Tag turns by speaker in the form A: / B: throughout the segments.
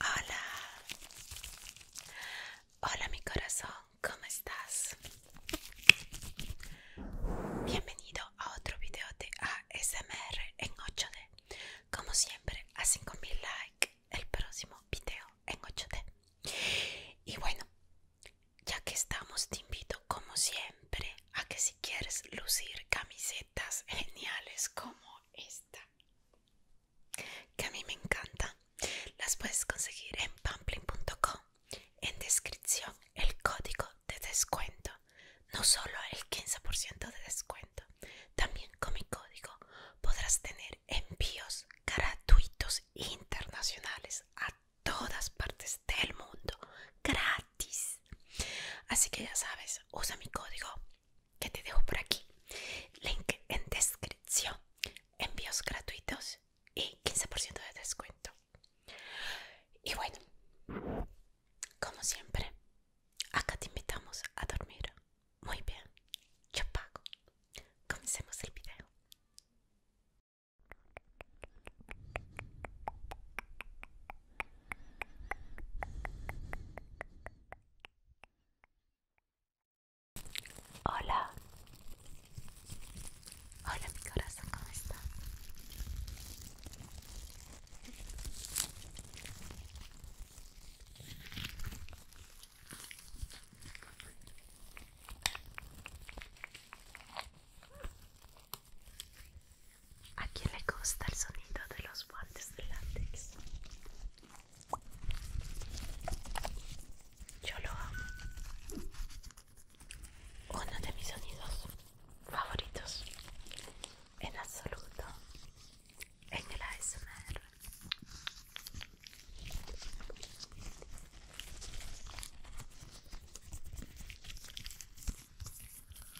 A: Hola, hola mi corazón, ¿cómo estás? Bienvenido a otro video de ASMR en 8D. Como siempre, a 5000 likes el próximo video en 8D. Y bueno, ya que estamos, te invito como siempre a que si quieres lucir camisetas geniales como esta que a mí me encanta. Las puedes conseguir en pampling.com. En descripción el código de descuento. No solo el 15% de descuento, también con mi código podrás tener envíos gratuitos internacionales a todas partes del mundo. Gratis. Así que ya sabes, usa mi código que te dejo por aquí. Link en descripción. Envíos gratuitos y 15% de descuento. Y bueno, como siempre, acá te invitamos a dormir. Muy bien, yo pago. Comencemos el video. Hola. Hola mi corazón, ¿cómo está? ¿A quién le gusta el sonido de los guantes de látex? Yo lo amo. Uno de mis sonidos favoritos en absoluto en el ASMR.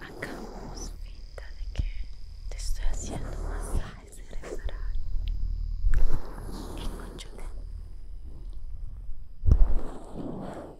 A: Acabamos finta de que te estoy haciendo más de reparar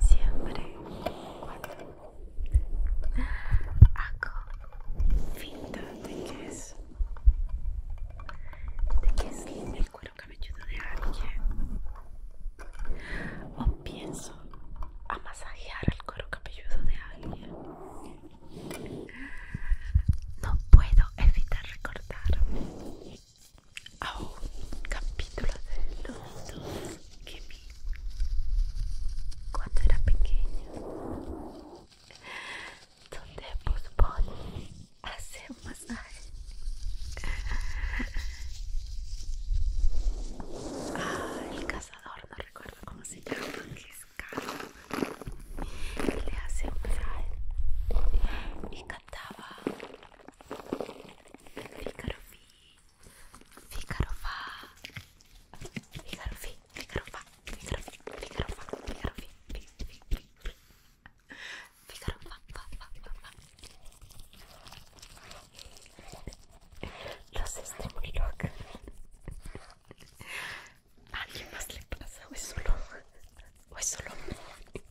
A: siempre cuando hago finta de que es de es el cuero cabelludo de alguien o pienso a masajear el cuero cabelludo de alguien no puedo evitar recordarme a un capítulo de los dos que vi cuando era pequeño donde Bugs hace un masaje ah, el cazador, no recuerdo cómo se llama, que es le hace un masaje y cantaba el fíjate, fa. fíjate, fíjate, fíjate, fa. fíjate, Los ¿A más le pasa fíjate, solo? ¿O solo?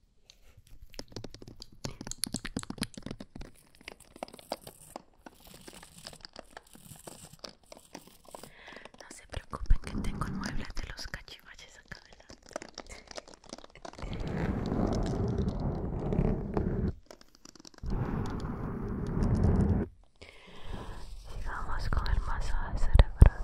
A: No se preocupen que tengo muebles de los cachivaches acá adelante. Sigamos con el masaje de cerebral.